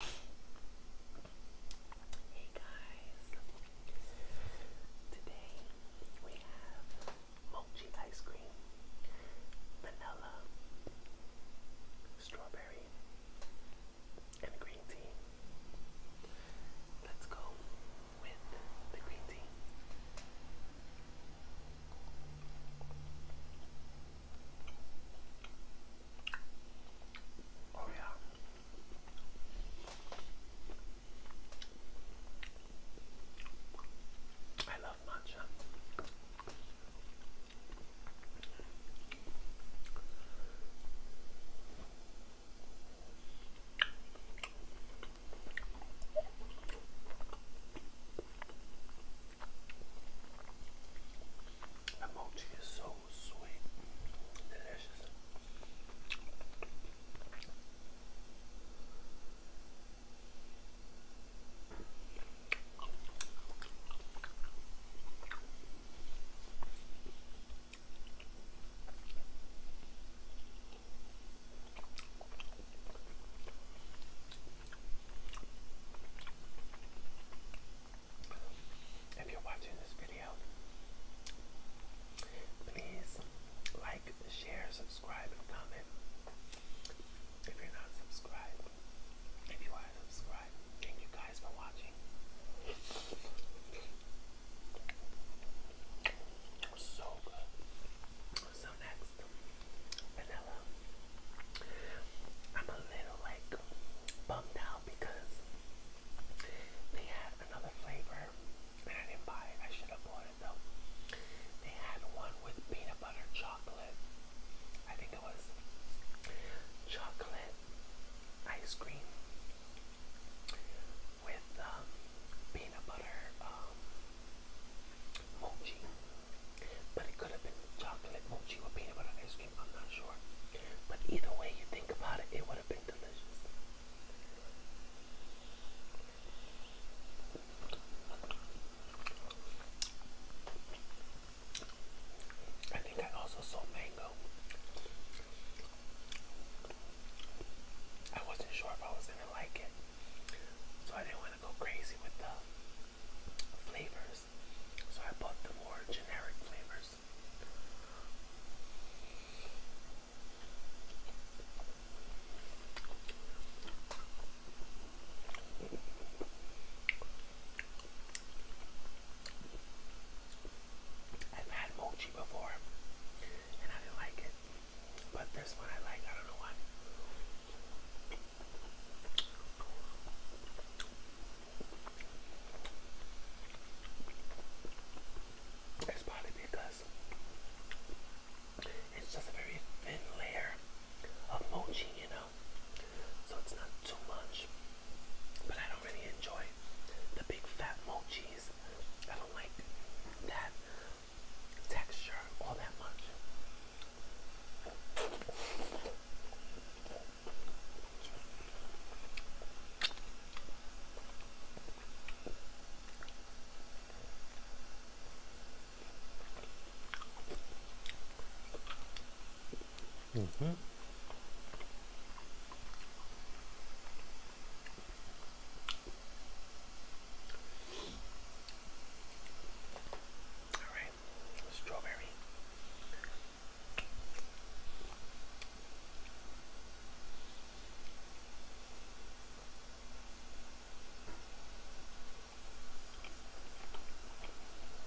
Hey guys, today we have mochi ice cream, vanilla, strawberry, and green tea. Let's go with the green tea. Oh, yeah. I love matcha. The mochi is so sweet, delicious. If you're watching this video, please like, share, subscribe, and comment. If you're not subscribed, if you are subscribed, thank you guys for watching. So good. So next, vanilla I'm a little like bummed out because they had another flavor and I didn't buy it. I should have bought it though. They had one with peanut butter chocolate. I think it was chocolate ice cream with um, peanut butter um, mochi. But it could have been chocolate mochi or peanut butter ice cream, I'm not sure. But either way you think about it, it would have been delicious. I think I also saw mango. I wasn't sure if I was gonna like it, so I didn't want to go crazy with the flavor. So I bought the more generic flavors. I've had mochi before and I didn't like it. But this one I like, I don't know why. It's probably because it's just a very thin layer of mochi, you know, so it's not too much. But I don't really enjoy the big fat mochis. I don't like that texture all that much. Mm-hmm. All right strawberry.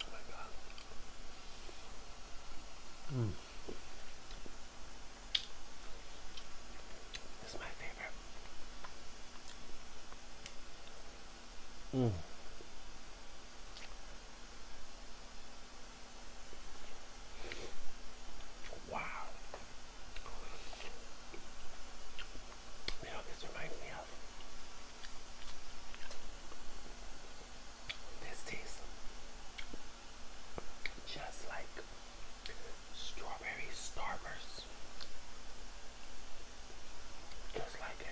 Oh my God. Mm. This is my favorite. Mm. Wow. You know, this reminds me of this tastes just like strawberry starburst. Just like it.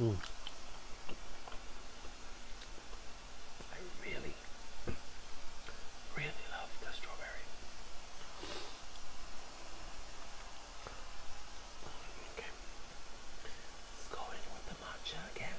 Mm. I really, really love the strawberry. Okay, let's go in with the matcha again.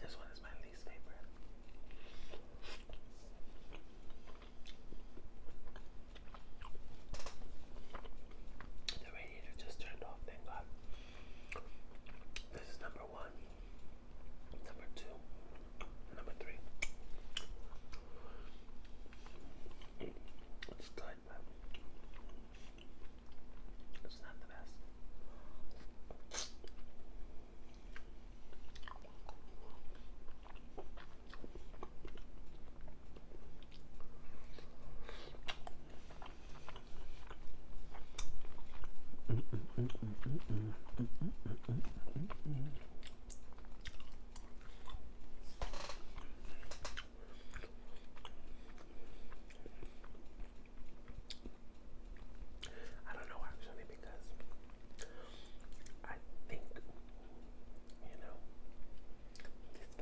This one is my least favorite. The radiator just turned off, thank God. This is number one, number two, number three. It's good, it's not the best. I don't know actually because I think you know this vanilla it's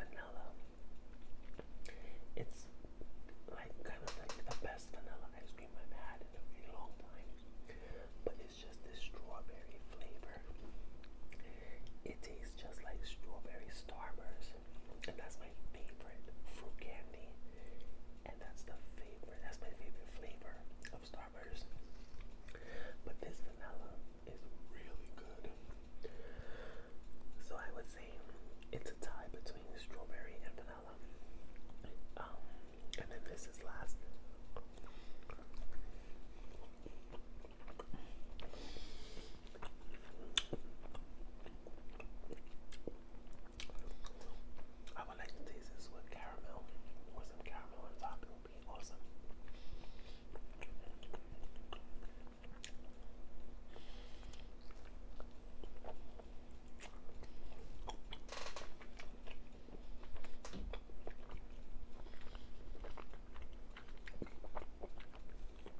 like kind of like the best vanilla ice cream I've had in a really long time but it's just this strawberry flavor it tastes just like strawberry starburst and that's my favorite fruit candy. And that's the favorite, that's my favorite flavor of Starburst. But this vanilla is really good. So I would say it's a tie between strawberry and vanilla. Um, and then this is last. I would like to taste this with caramel or some caramel on top. It would be awesome.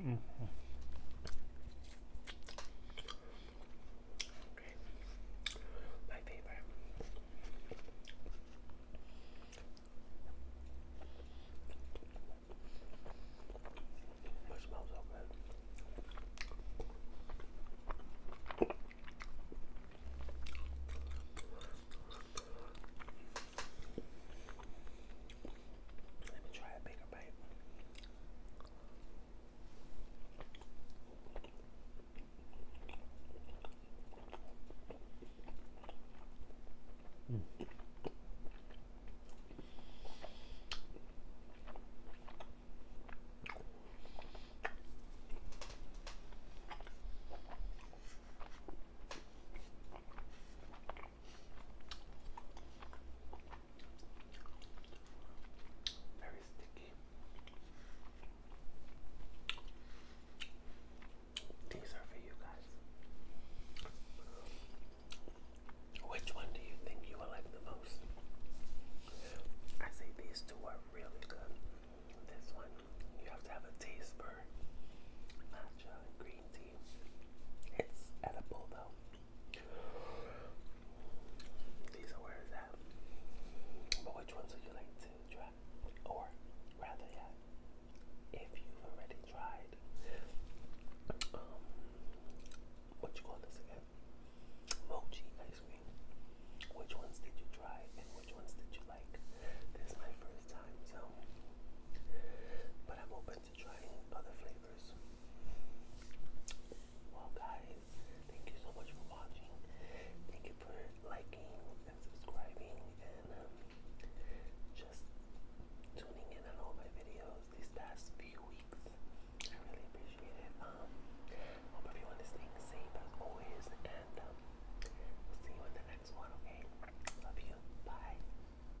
Mm -hmm. My favorite. It smells so good. Let me try a bigger bite. Mm. Very sticky. These are for you guys. Which one do you think you will like the most? I say these two are really good. This one, you have to have a taste for matcha and green tea. It's edible though. These are where is that? But which ones would you like to try? Or rather yeah, if you've already tried um what you call this again? Mochi ice cream. Which ones did you try and which ones did you like? This is my first time so but I'm open to trying other flavors. Well, guys, thank you so much for watching. Thank you for liking and subscribing and um, just tuning in on all my videos these past few weeks. I really appreciate it. Um, hope everyone is staying safe as always, and um, see you in the next one. Okay, love you. Bye.